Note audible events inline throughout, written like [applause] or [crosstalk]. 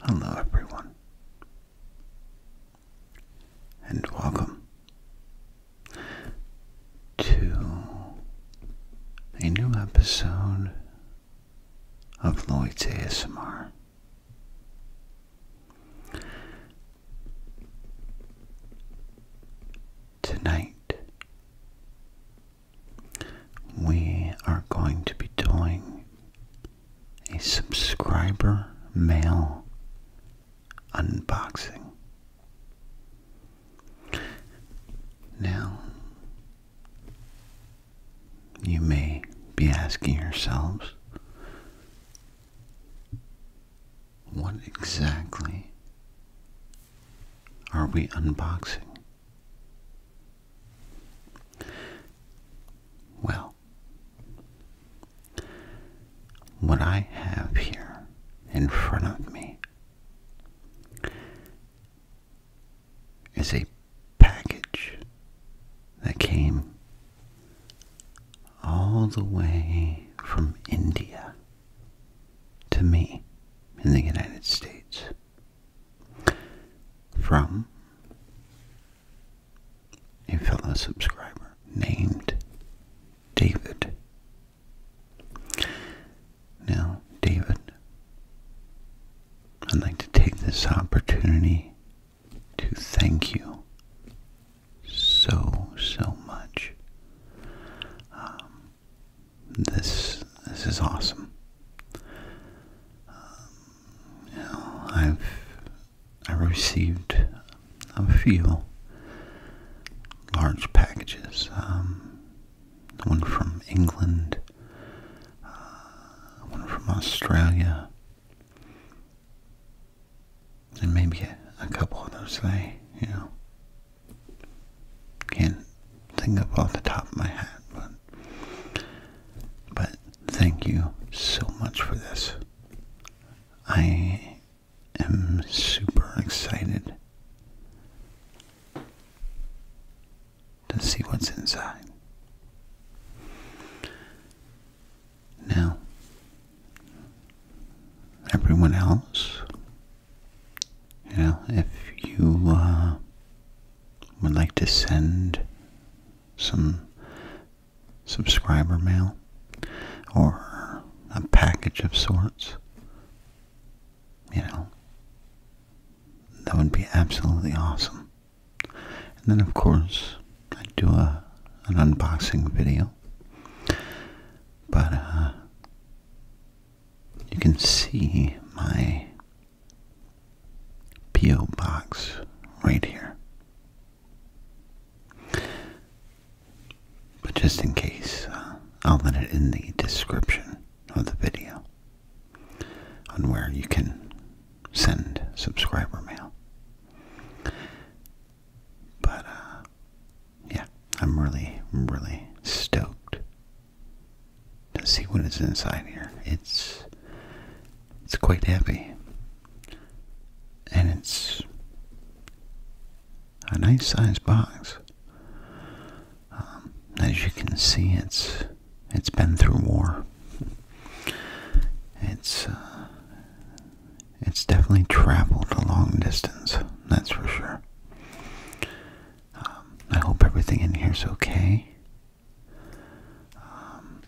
Hello, everyone, and welcome to a new episode of Lloyd's ASMR. Tonight, we are going to be doing a subscriber mail unboxing. Now, you may be asking yourselves, what exactly are we unboxing? Well, what I have here in front of me is a package that came all the way from India to me in the United States from a fellow subscriber named David. Now, David, I'd like to take this opportunity to thank you so, so much. Um, this this is awesome. Um, I've I received a few large packages. Um, one from England, uh, one from Australia, and maybe a, a couple others. They, you know, can't think of off the top of my head, but, but thank you so much for this. I am super excited to see what's inside. Now, everyone else you know, if you uh, would like to send some subscriber mail or a package of sorts, you know, that would be absolutely awesome. And then, of course, I'd do a an unboxing video, but uh, you can see my P.O. box right here. But just in case, uh, I'll let it in the description of the video on where you can send subscriber mail. But, uh, yeah, I'm really, really stoked Let's see what is inside here. It's it's quite heavy. And it's a nice sized box. Um, as you can see, it's it's been through war. It's uh, it's definitely traveled a long distance. That's for sure. Um, I hope everything in here is okay. Um,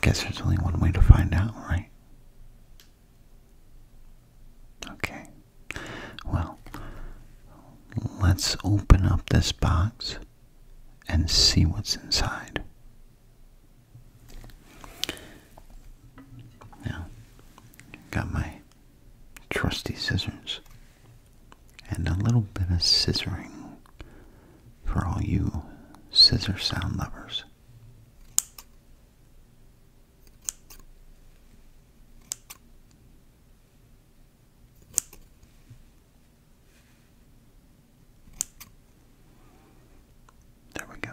guess there's only one way to find out, right? Okay. Well, let's open up this box and see what's inside. Now, got my trusty scissors and a little bit of scissoring for all you scissor sound lovers. There we go.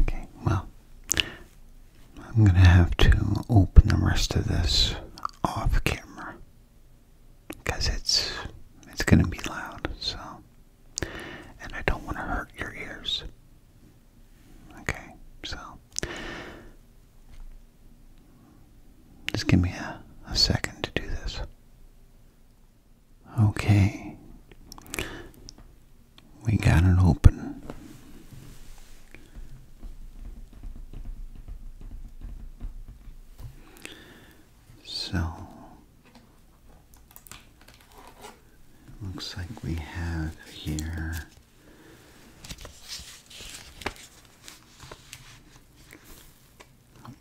Okay, well, I'm going to have to open the rest of this off camera because it's it's going to be loud, so and I don't want to hurt your ears. Okay, so just give me a, a second to do this. Okay. We got it open. So, looks like we have here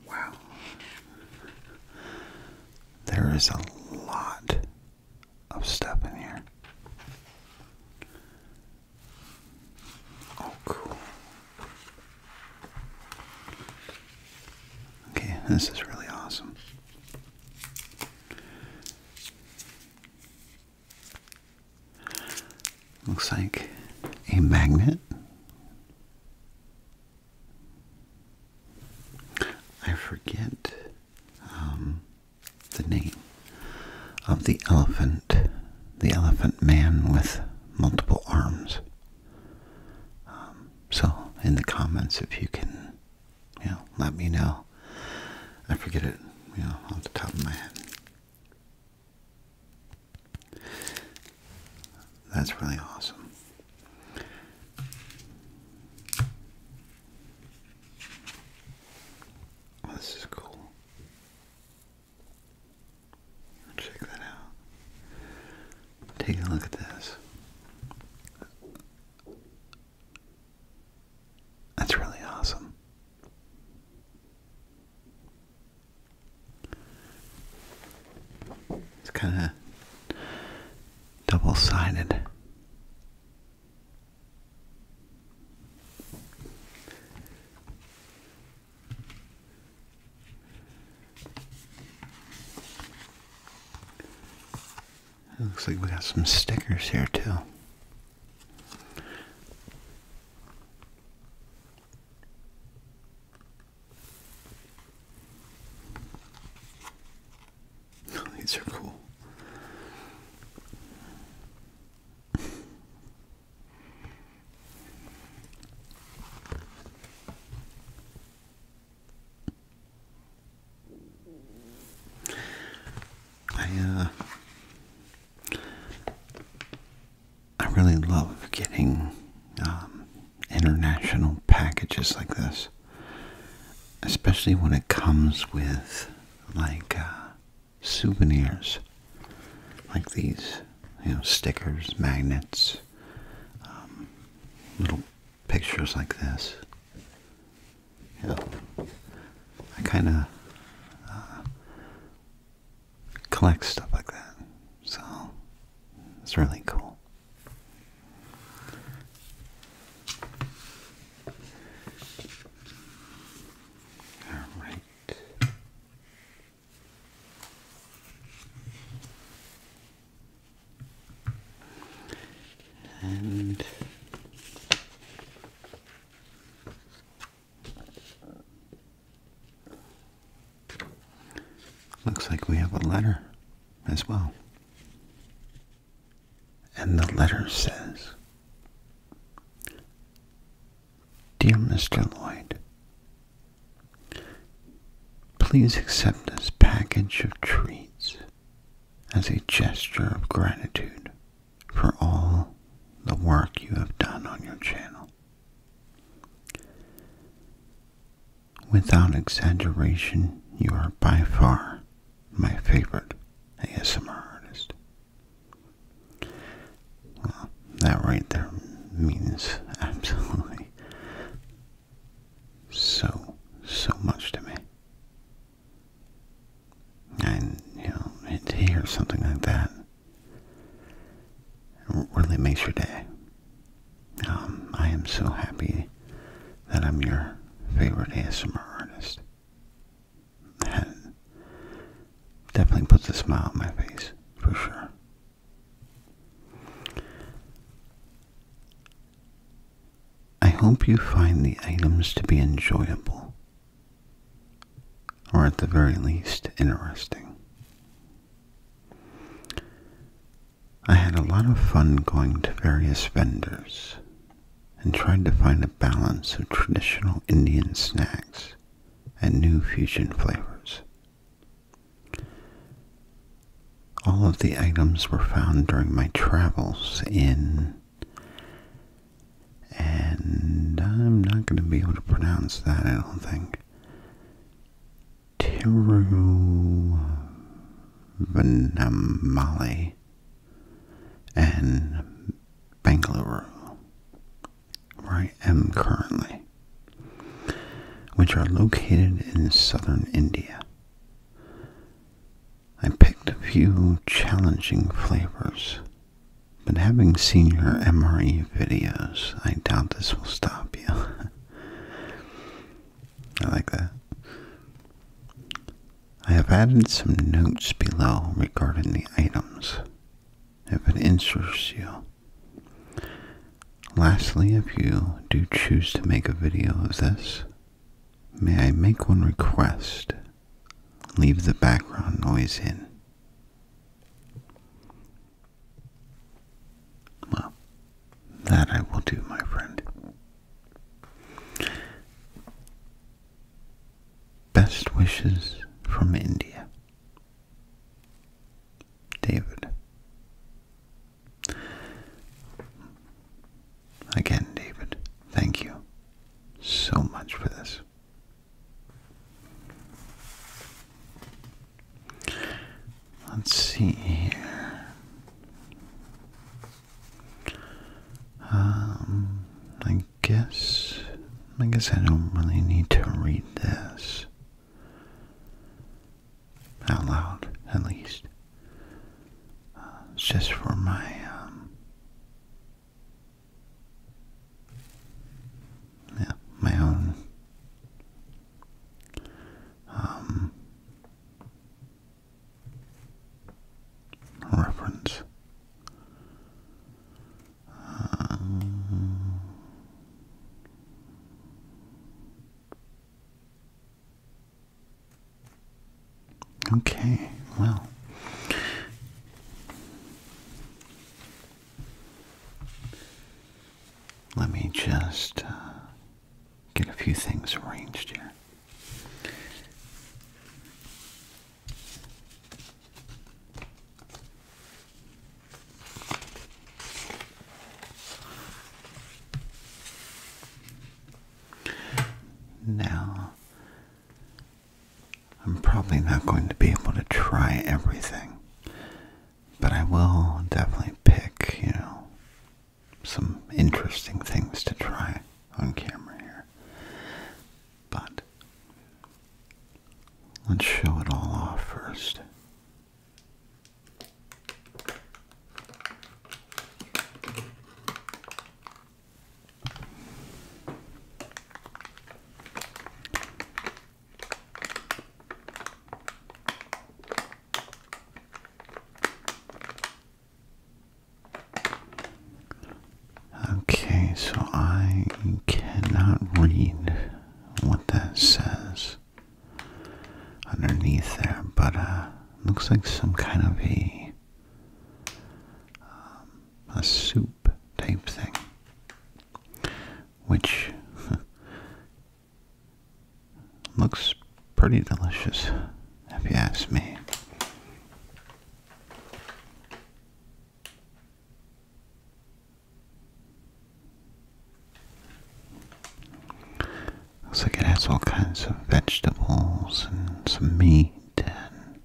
Wow. There is a lot of stuff in here. Oh, cool. Okay, this is really awesome. Looks like a magnet. I forget um, the name of the elephant, the elephant man with multiple arms. Um, so, in the comments, if you can, you know, let me know. I forget it, you know, off the top of my head. That's really awesome. Well, oh, this is cool. Check that out. Take a look at this. That's really awesome. It's kind of double-sided. It looks like we got some stickers here too. [laughs] These are cool. I uh I really love getting um, international packages like this, especially when it comes with like uh, souvenirs, like these, you know, stickers, magnets, um, little pictures like this. You know, I kind of uh, collect stuff like that. So it's really cool. All right. And Looks like we have a letter as well. And the letter says, Dear Mr. Lloyd, please accept this package of treats as a gesture of gratitude for all the work you have done on your channel. Without exaggeration, you are by far my favorite ASMR artist. Well, that right there means [laughs] absolutely so, so much to me. And, you know, to hear something like that it really makes your day. Um, I am so happy that I'm your favorite ASMR artist. definitely puts a smile on my face, for sure. I hope you find the items to be enjoyable or at the very least interesting. I had a lot of fun going to various vendors and tried to find a balance of traditional Indian snacks and new fusion flavors. All of the items were found during my travels in and I'm not going to be able to pronounce that, I don't think. Tiru, Tiruvannamalai and Bangalore, where I am currently, which are located in southern India. I picked a few challenging flavors but having seen your MRE videos, I doubt this will stop you. [laughs] I like that. I have added some notes below regarding the items, if it interests you. Lastly, if you do choose to make a video of this, may I make one request leave the background noise in. Well, that I will do, my friend. Best wishes from India. David. Again, David, thank you so much for this. Let's see here. Um, I guess, I guess I don't really need to read this out loud, at least. Uh, just for my um, yeah, my own um, reference. Um, okay, well, let me just uh, get a few things arranged here. Now, I'm probably not going to be able to try everything, but I will definitely pick, you know, some interesting things to try on camera here. But let's show it all off first. Okay, so I cannot read what that says underneath there, but uh, looks like some kind of a um, a soup type thing, which [laughs] looks pretty delicious, if you ask me. Looks like it has all kinds of vegetables and some meat and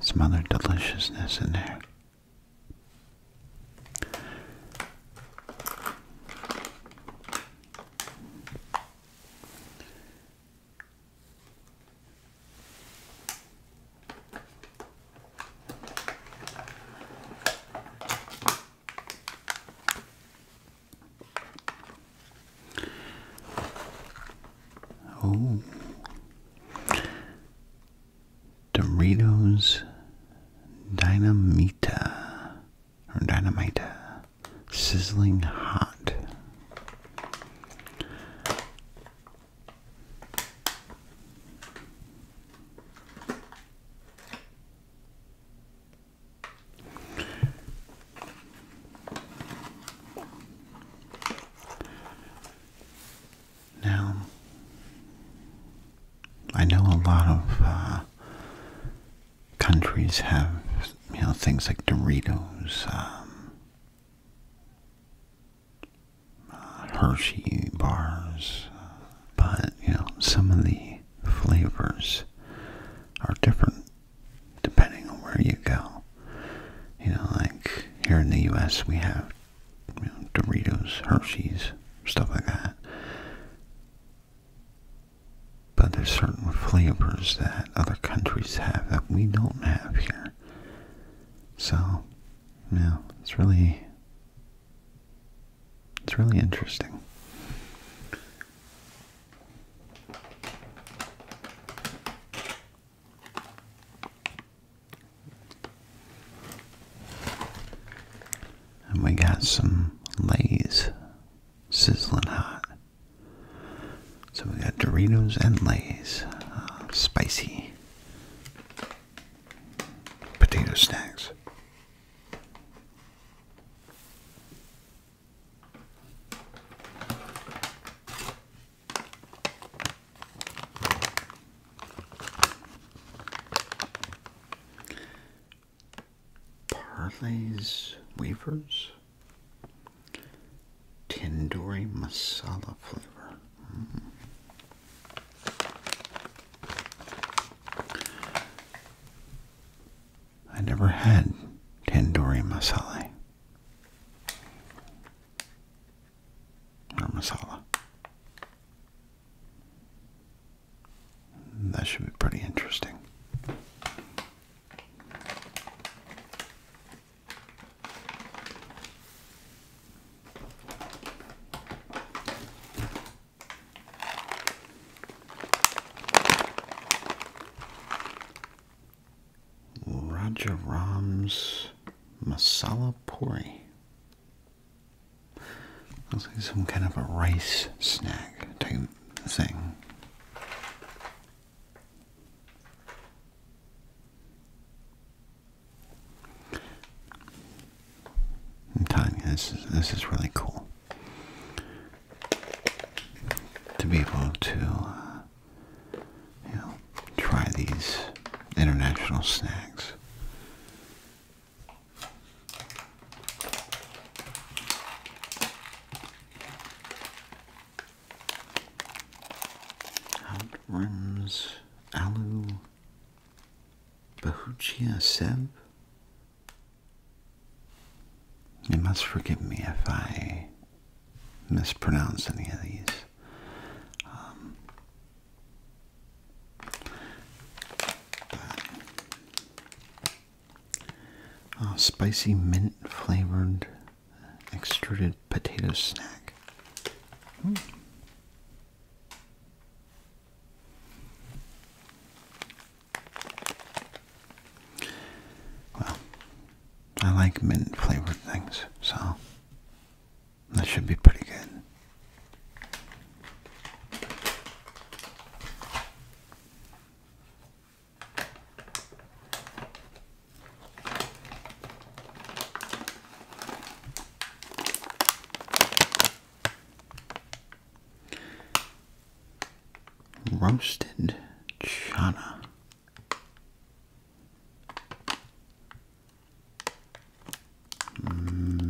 some other deliciousness in there. Oh. Doritos Dynamita or Dynamita Sizzling Hot. Now, I know a lot of uh, countries have, you know, things like Doritos, um, uh, Hershey bars, uh, but, you know, some of the flavors are different depending on where you go. You know, like here in the U.S. we have Doritos, Hershey's, stuff like that. But there's certain flavors that other countries have that we don't have here. So, you know, it's really, it's really interesting. And we got some Lay's sizzling hot. So we got Doritos and Lay's uh, spicy potato snacks. Parley's Weavers Tandoori Masala flavor. Hmm. I never had tandoori masala masala. That should be pretty interesting. Rajaram's Masala pori. Looks like some kind of a rice snack type thing. i this is, this is really cool. To be able to uh, you know, try these international snacks. Out rims Alu Bahuchia Seb. You must forgive me if I mispronounce any of these. Um, uh, spicy mint flavored extruded potato snack. Hmm. Well, I like mint flavored things, so that should be pretty good. Roasted chana.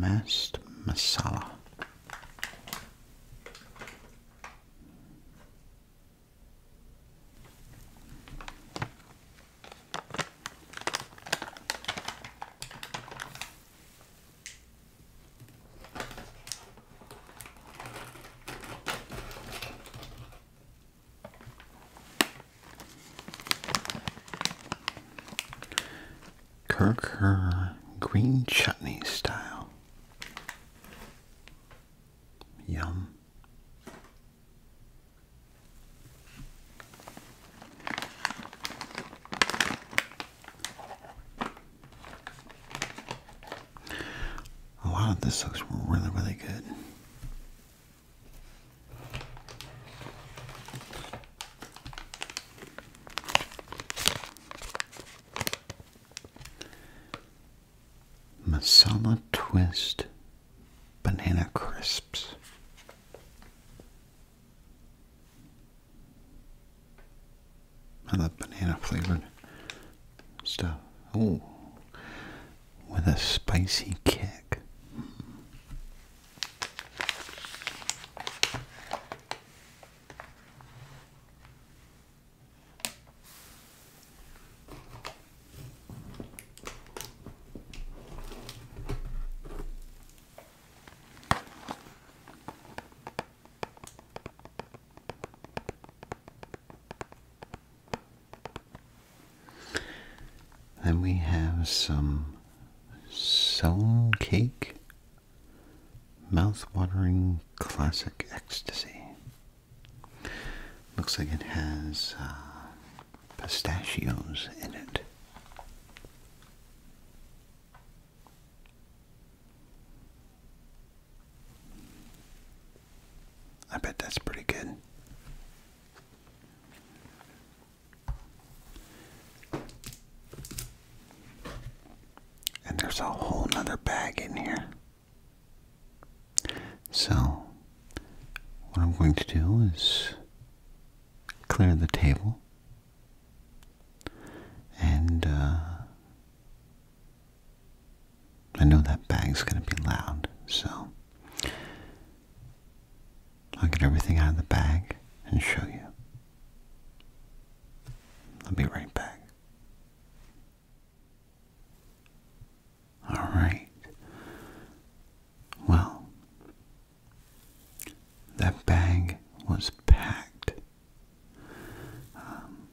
Mast masala. Kirker green chutney style. Yum. A lot of this looks really, really good. Masala Twist Banana Crisps. I love banana flavored stuff. Oh, with a spicy kick. Then we have some Selm Cake mouth-watering Classic Ecstasy. Looks like it has uh, pistachios in it. I bet that's pretty good. And there's a whole other bag in here. So, what I'm going to do is clear the table and uh, I know that bag's going to be loud, so I'll get everything out of the bag and show you. I'll be right back. All right. Well, that bag was packed. Um,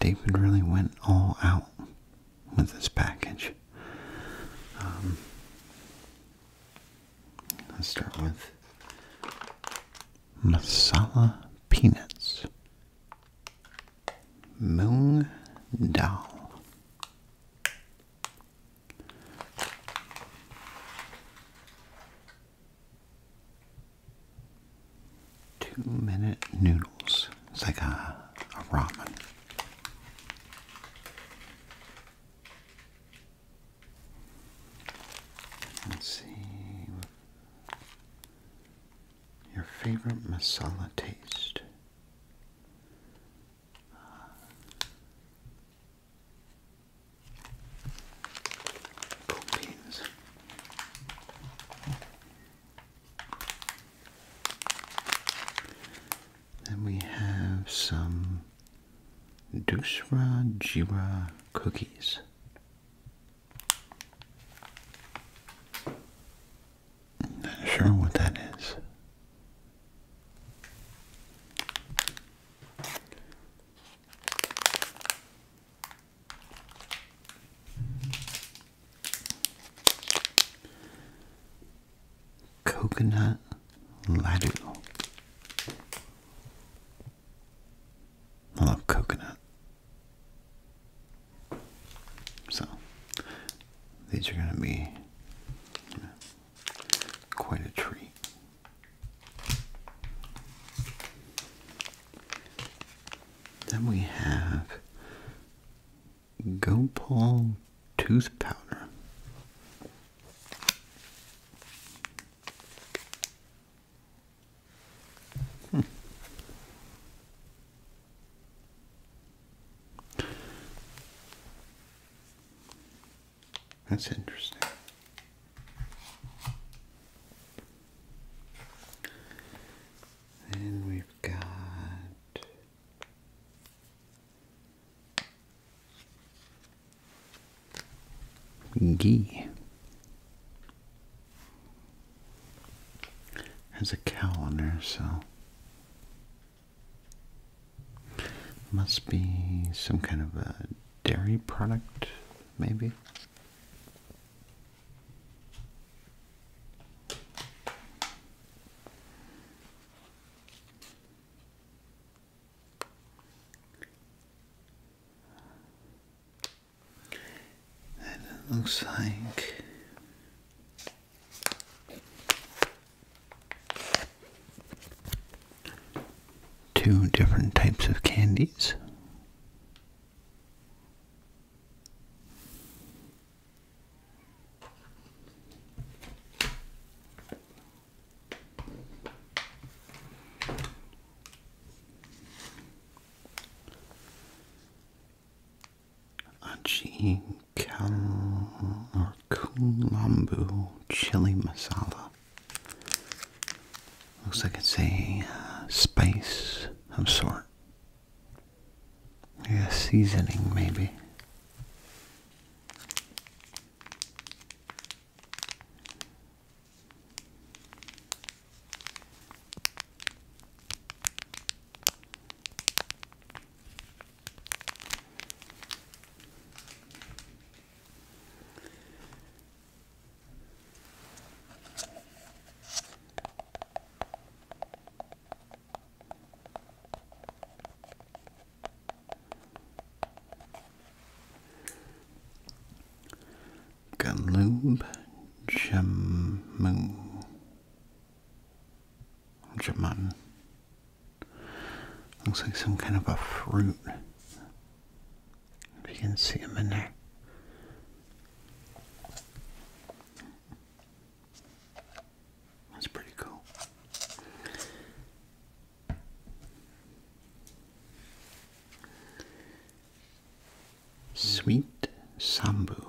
David really went all out with this package. Um, let's start with masala peanuts, moong dal, two-minute noodles. It's like a, ramen. Let's see. Your favorite masala taste. Cool then we have some Dusra Jira cookies. Not sure what that is. Coconut Ladoo. I love coconut. So, these are going to be quite a treat. Then we have Gopal tooth powder. Hmm. That's interesting. And we've got Gee has a cow on her, so must be some kind of a dairy product, maybe. And it looks like two different types of candies. Aji Kal or Kulambu chili masala. Looks like it's a uh, spice of sort. Yeah, seasoning maybe. Galoob Jamu Jamun. Looks like some kind of a fruit. If you can see them in there. That's pretty cool. Sweet Sambu.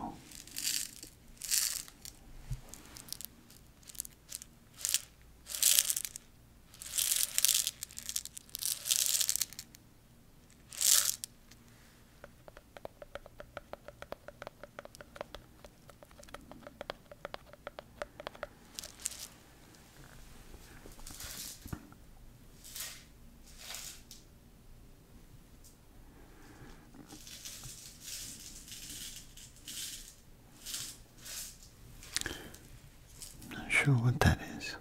Not sure what that is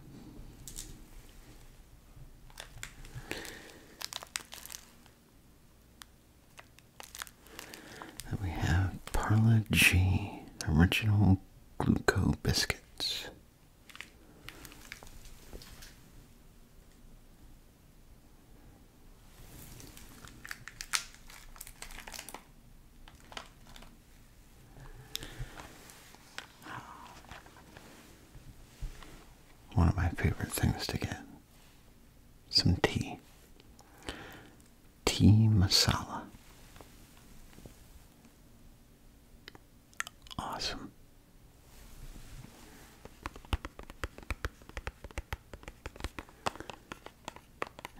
we have Parla G Original Gluco Biscuits. One of my favorite things to get some tea. Tea masala. Awesome.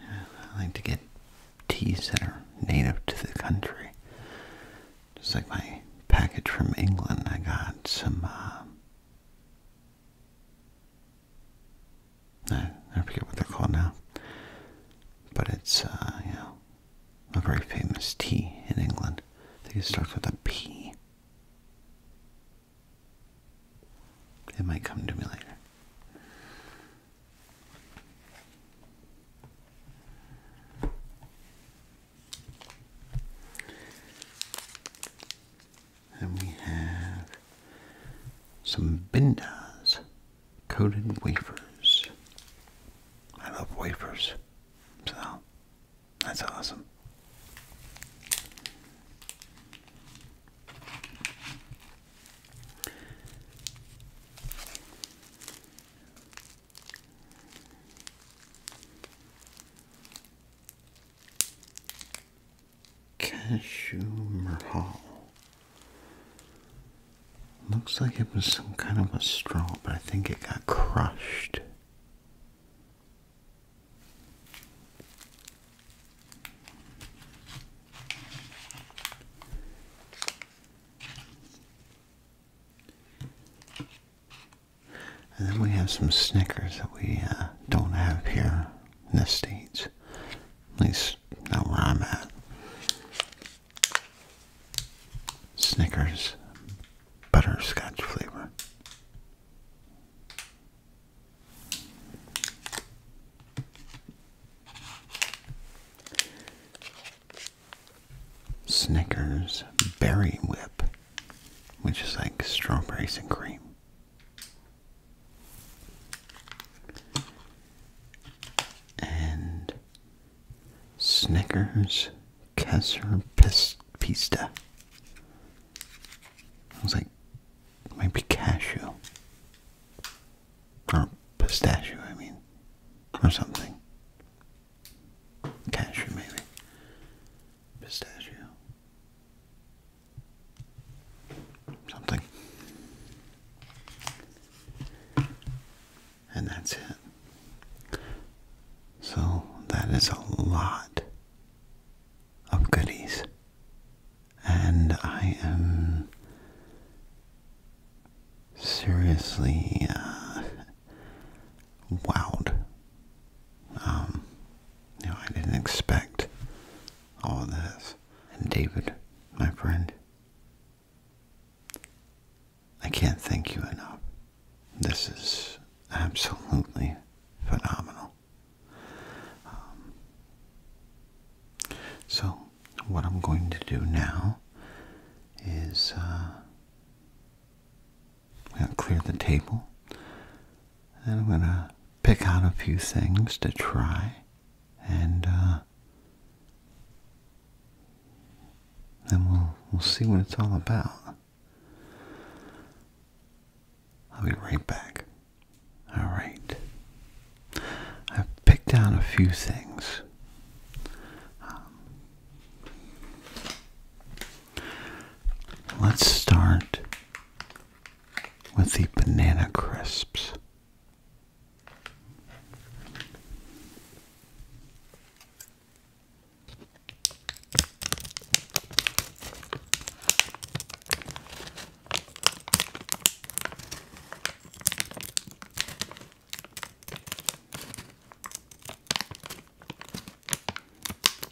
I like to get teas that are native to the country. Just like my package from England, I got some uh, I, forget what they're called now, but it's uh, a very famous tea in England. I think it starts with a P. It might come to me later. And we have some Bindas coated wafers. I love wafers, so that's awesome. Cashew Mahal. Looks like it was some kind of a straw, but I think it got crushed. And then we have some Snickers that we uh, don't have here in the States. At least not where I'm at. Snickers butterscotch flavor. Snickers Berry Whip which is like strawberries and cream. And Snickers Kessler Pista. I like, maybe cashew. Or pistachio, I mean. Or something. Cashew, maybe pistachio something. And that's it. So that is a lot of goodies. And I am seriously uh, wowed. Um, you I didn't expect all this. And David, my friend, I can't thank you enough. This is absolutely phenomenal. Um, so, what I'm going to do now is uh, I'm going to clear the table. And I'm going to pick out a few things to try. And uh, then we'll, we'll see what it's all about. I'll be right back. All right. I've picked out a few things. Um, Let's start with the banana crisps.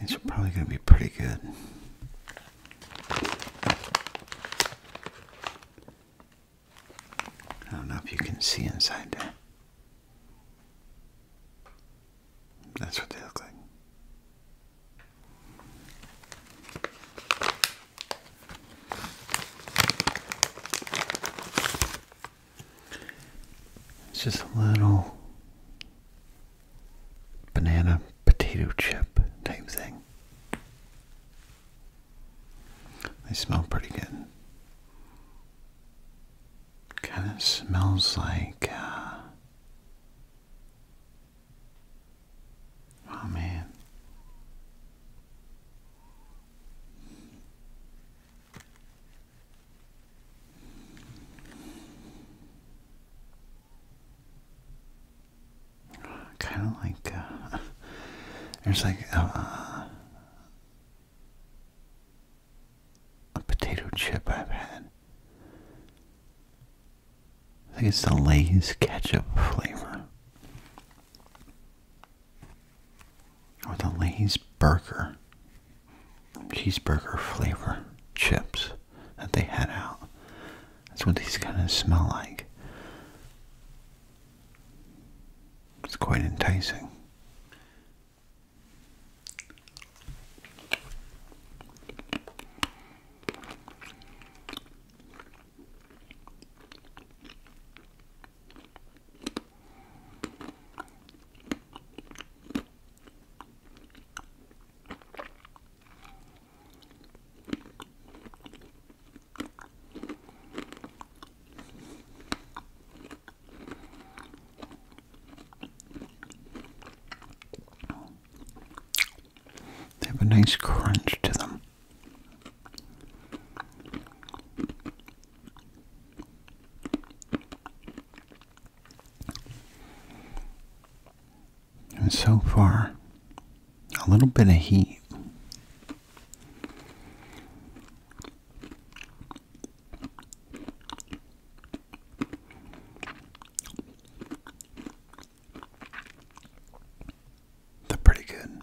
These are probably going to be pretty good. I don't know if you can see inside there. That's what they look like. It's just a little banana potato chip type thing. They smell pretty good. Kind of smells like, uh, oh man. Kind of like, uh, [laughs] there's like a, uh, a potato chip I've had. I think it's the Lay's ketchup flavor. Or the Lay's burger cheeseburger flavor chips that they had out. That's what these kind of smell like. It's quite enticing. They have a nice crunch to them. And so far, a little bit of heat. They're pretty good.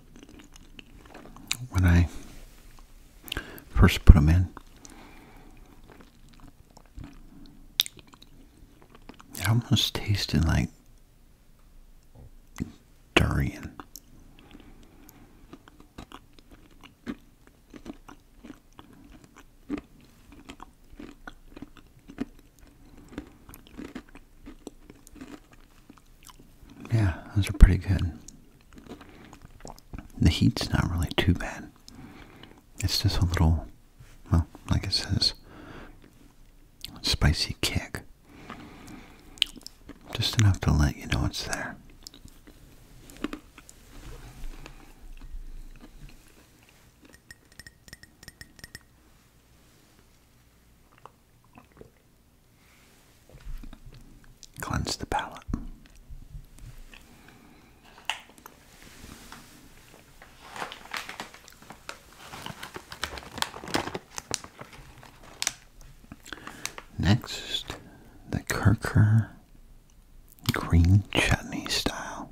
when I first put them in. It almost tasted like durian. Yeah, those are pretty good. The heat's not really too bad. It's just a little, well, like it says, spicy kick. Just enough to let you know it's there. Cleanse the palate. Next, the Kirker green chutney style.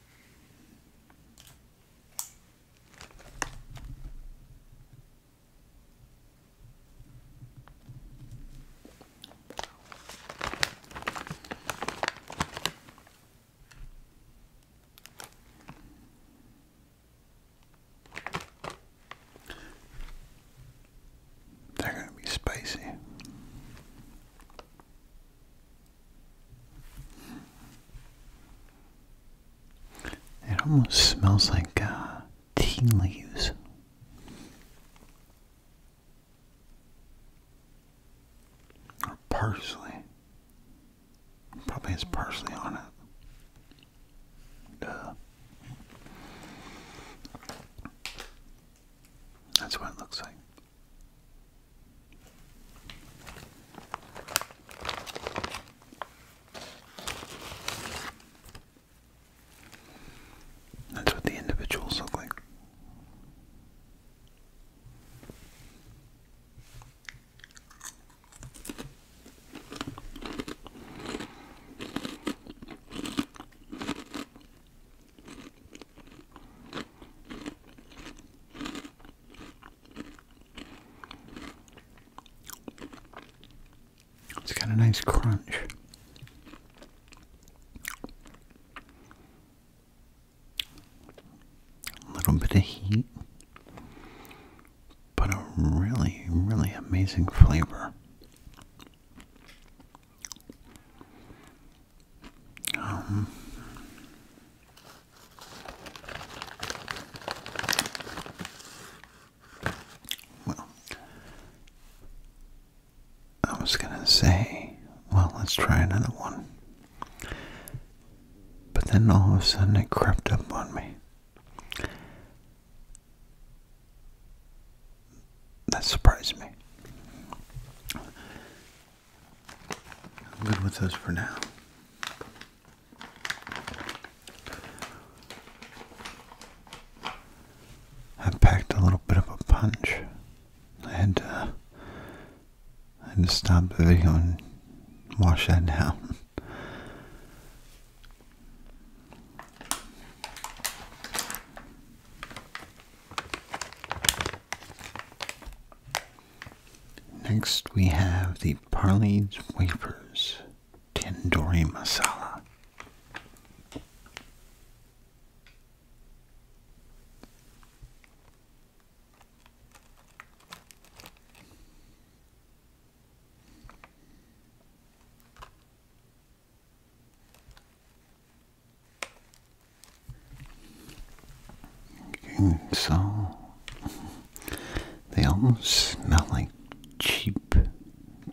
They're going to be spicy. It almost smells like uh, tea leaves. Or parsley. Probably has parsley on it. That's what it looks like. That's what the individuals look like. It's got a nice crunch. A little bit of heat, but a really, really amazing flavor. Um, well, I was gonna say, well, let's try another one. But then all of a sudden it crept up on me. That surprised me. I'm good with those for now. I packed a little bit of a punch. I had to, I had to stop the video and wash that down. Next, we have the Parley's Wafers tindori Masala. And so they almost smell like cheap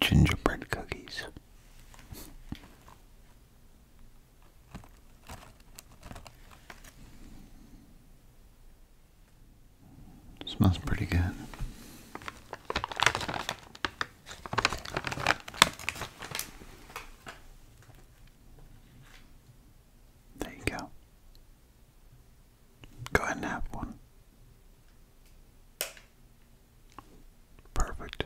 gingerbread cookies. Smells pretty good. There you go. Go ahead and have one. Perfect.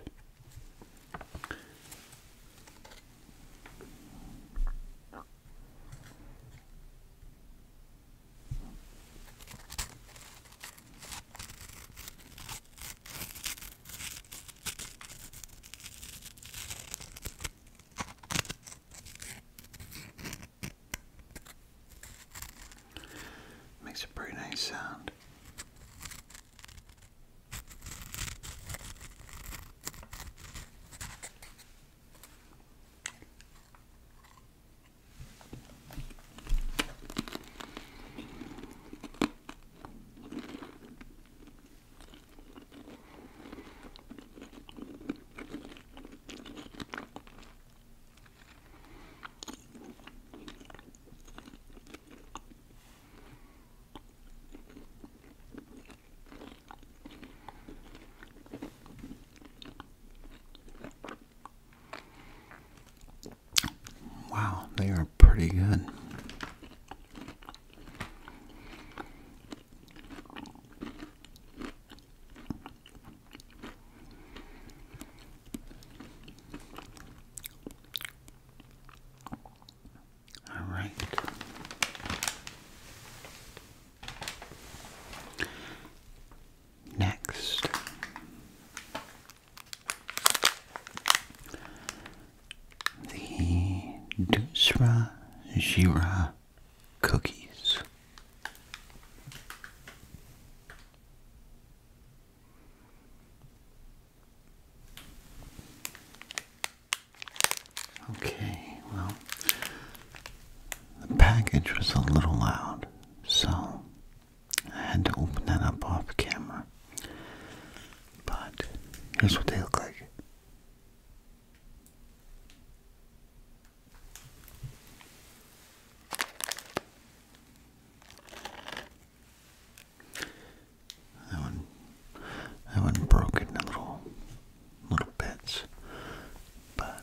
Makes a pretty nice sound. Wow, they are pretty good. All right. Next, the Dusra Jira cookies. Okay, well, the package was a little loud, so I had to open that up off camera. But here's what they look like. That one, that one broke into little, little bits, but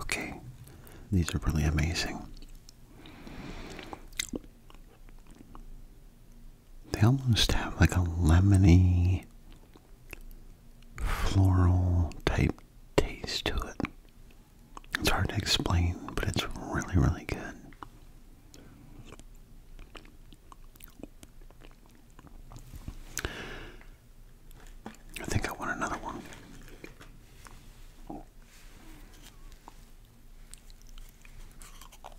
Okay, these are really amazing. They almost have like a lemony, floral type taste to it. It's hard to explain, but it's really, really good. I think I want another one.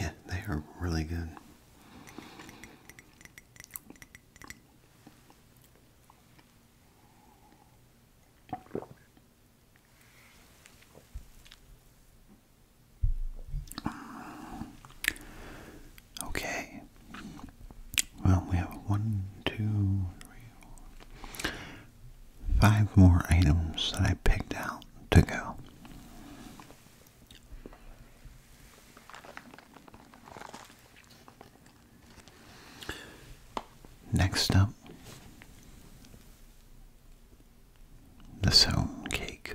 Yeah, they are really good. Uh, okay. Well, we have one, two, three, four, five more items that I picked out to go. Next up, the sound cake.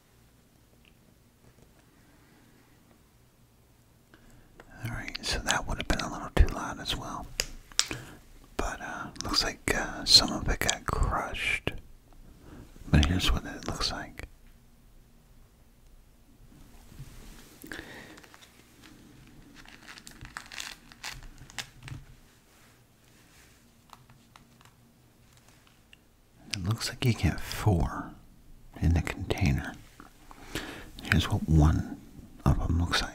Alright, so that would have been a little too loud as well. But uh, looks like uh, some of it got crushed. But here's what it looks like. It looks like you get four in the container. Here's what one of them looks like.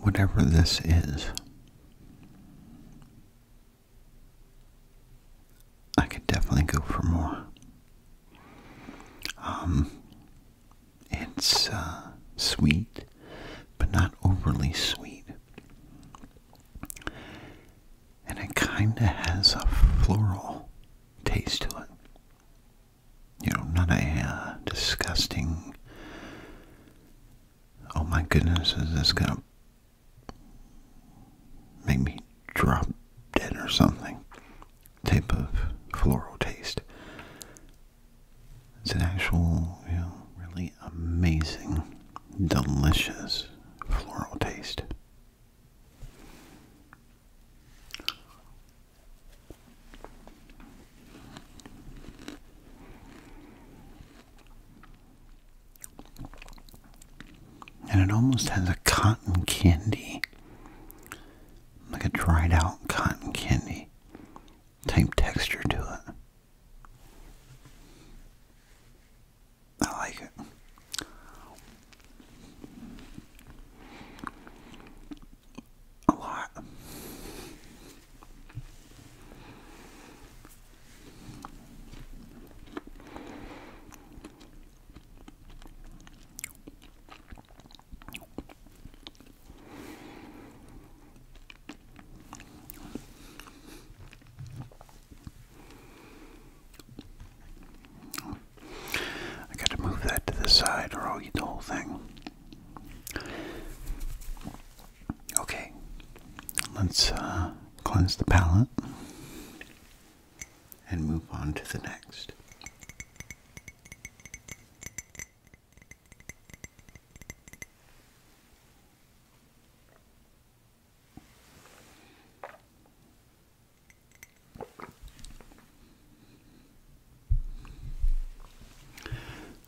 whatever this is. I could definitely go for more. Um, it's uh, sweet, but not overly sweet. And it kind of has a floral taste to it you know, not a uh, disgusting, oh my goodness, is this going to make me drop dead or something type of floral taste. It's an actual, you know, really amazing, delicious floral taste. And it almost has a cotton candy, like a dried out cotton candy type texture to it. I like it a lot. I gotta move that to the side or I'll eat the whole thing. Okay, let's uh, cleanse the palate and move on to the next.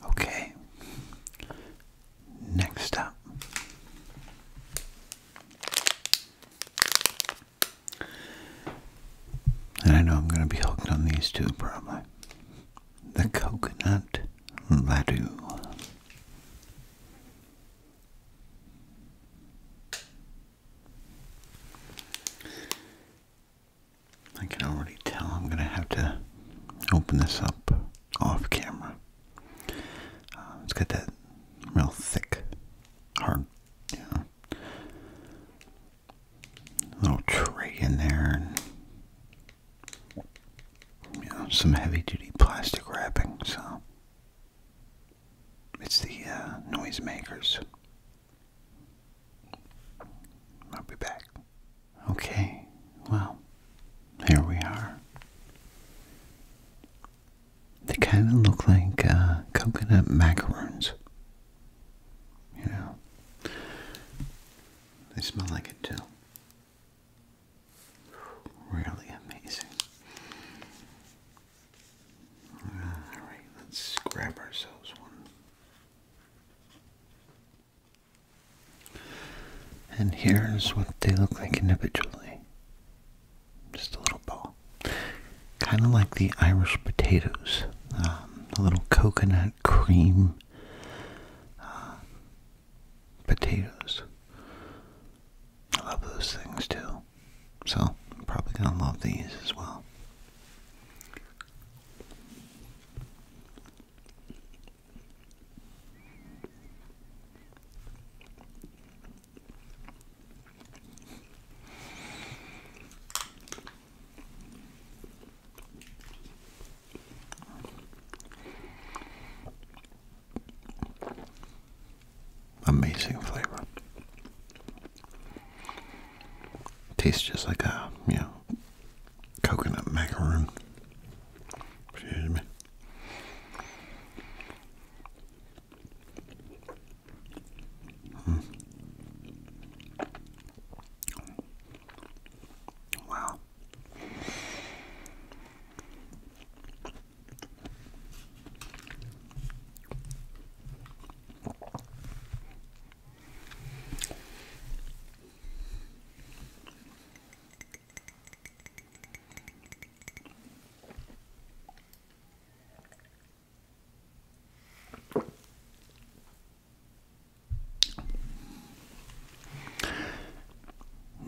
Okay, next up. And I know I'm going to be hooked on these two probably. The coconut laddu. I can already tell I'm going to have to open this up off camera. Uh, it's got that real thick, hard, you know, little tray in there and you know, some heavy-duty plastic wrapping, so it's the uh, noisemakers. I'll be back. Okay, well, here we are. They kind of look like uh, coconut macaroons. You know, they smell like it too. Really amazing. Alright, let's grab ourselves one. And here's what they look like individually. Just a little ball. Kind of like the Irish potatoes. Um, a little coconut cream uh, potatoes. I love those things too. So probably going to love these as well. Amazing flavor. Tastes just like a, you coconut macaroon. Excuse me. Hmm. Wow.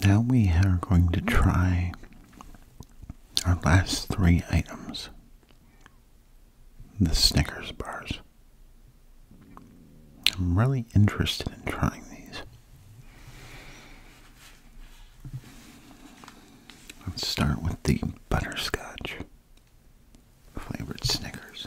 Now we are going to try our last three items the Snickers bars. I'm really interested in trying these. Let's start with the butterscotch flavored Snickers.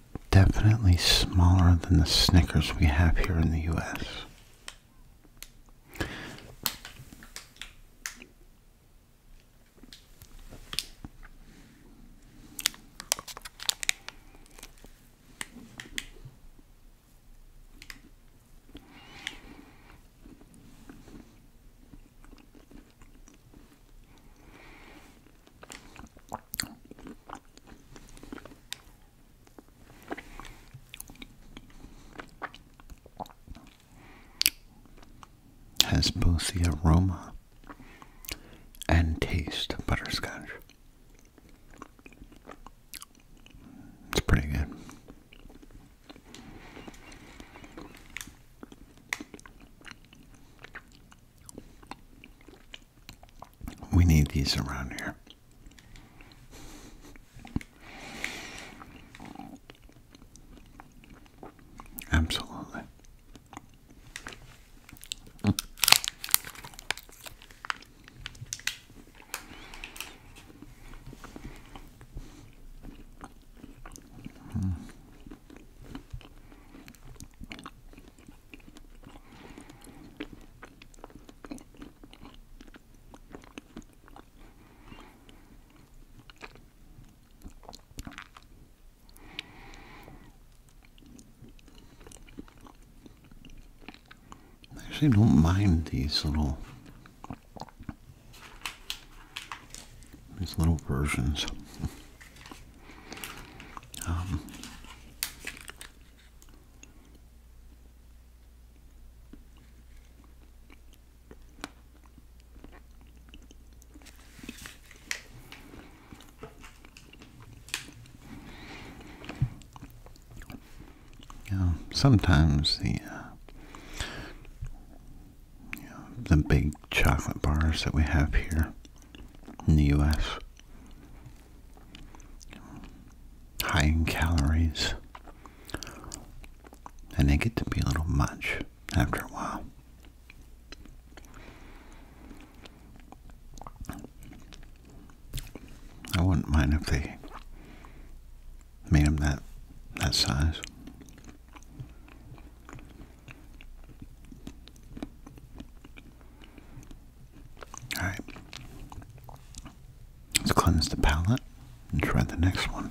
definitely smaller than the Snickers we have here in the US. Has both the aroma and taste of butterscotch. It's pretty good. We need these around here. Absolutely. I actually don't mind these little these little versions. [laughs] Um, sometimes the uh, the big chocolate bars that we have here in the U.S high in calories, and they get to be a little much after a while. I wouldn't mind if they made them that that size. Alright. Let's cleanse the palette and try the next one.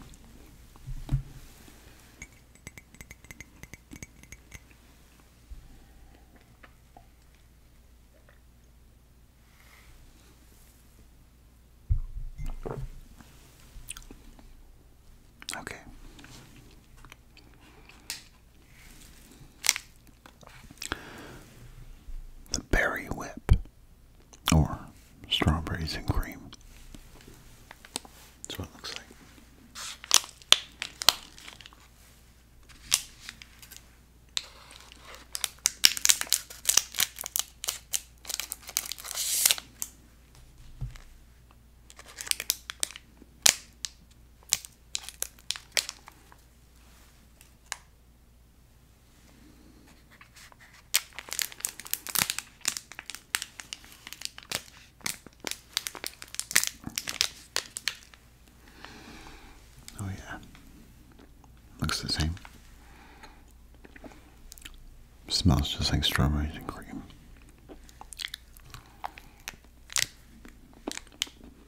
Okay. The berry whip or strawberries and cream. That's what it looks like. Oh, yeah, looks the same. Smells just like strawberries and cream.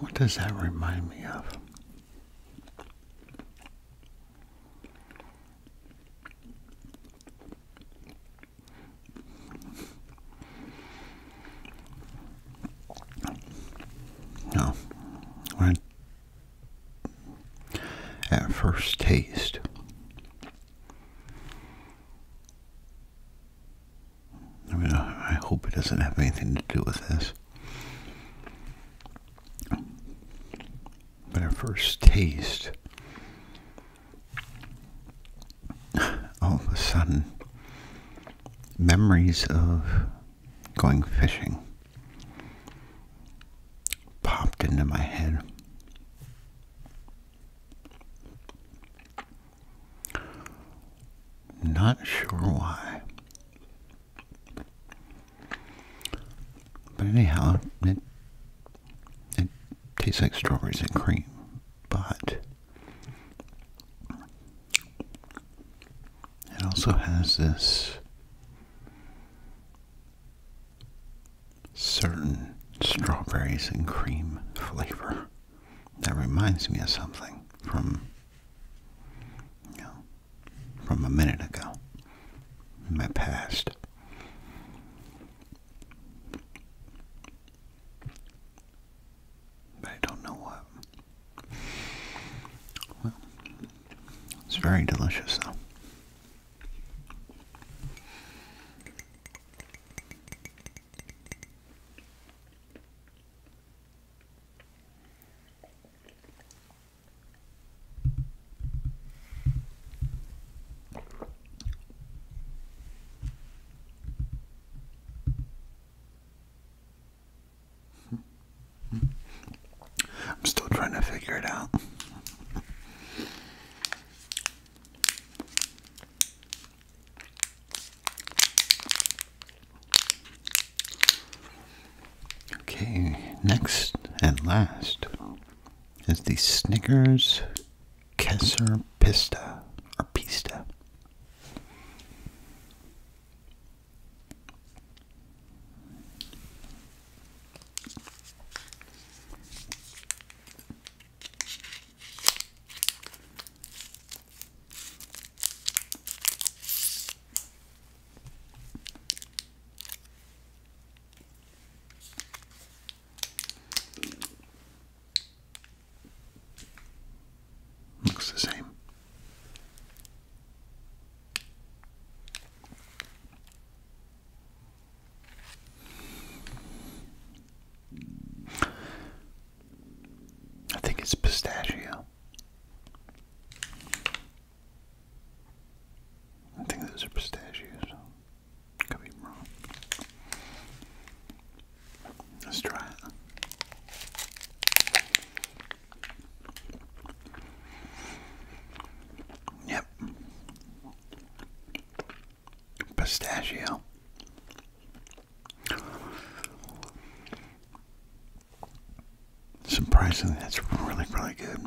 What does that remind me of? No, when at first taste, I mean, I, hope it doesn't have anything to do with this. But our first taste, all of a sudden, memories of going fishing popped into my head. Not sure why. But anyhow, it, it tastes like strawberries and cream, but it also has this certain strawberries and cream flavor that reminds me of something from you know, from a minute ago my past. But I don't know what. Well, it's very delicious though. I'm still trying to figure it out. Okay, next and last is the Snickers Kesser Pista or Pista. Looks the same. I think it's pistachio. I think those are pistachios. Could be wrong. Let's try it. Yep. Pistachio. Surprisingly, that's really, really good.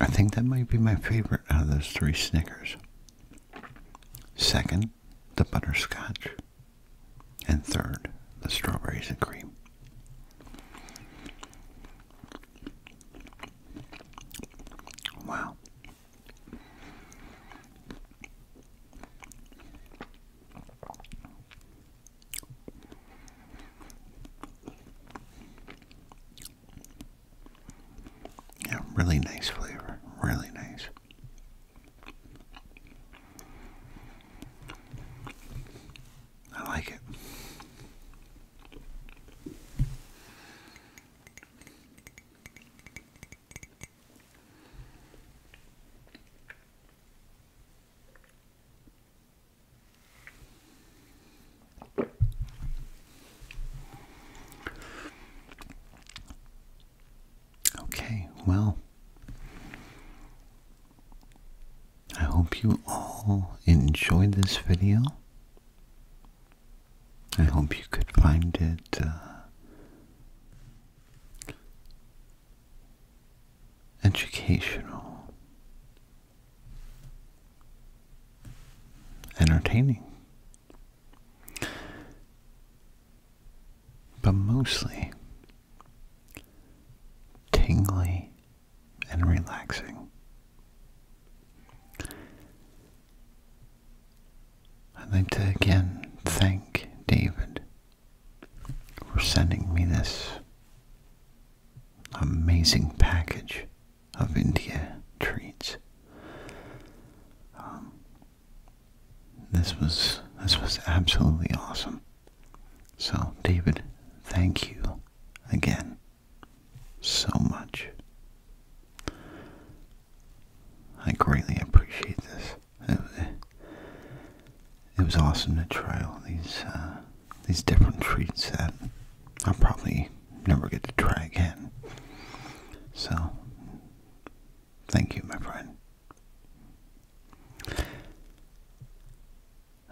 I think that might be my favorite out of those three Snickers. Second, the butterscotch. And third, the strawberries and cream. Wow. Yeah, really nice flavor. Really nice. I like it. Okay, well, I hope you all enjoyed this video. I hope you could find it uh, educational, entertaining, but mostly tingly and relaxing. I'd like to again thank David for sending me this amazing package of India treats. Um, this was this was absolutely awesome. So, David, thank you again so much. I greatly appreciate this. It, was awesome to try all these uh, these different treats that I'll probably never get to try again. So, thank you, my friend.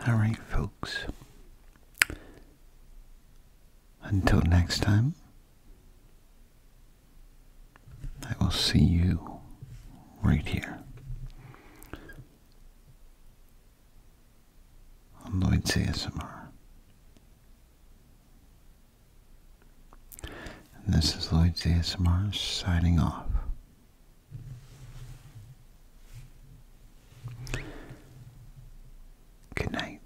Alright, folks. Until next time, I will see you right here on Lloyd's CSMR, And this is Lloyd's CSMR signing off. Good night.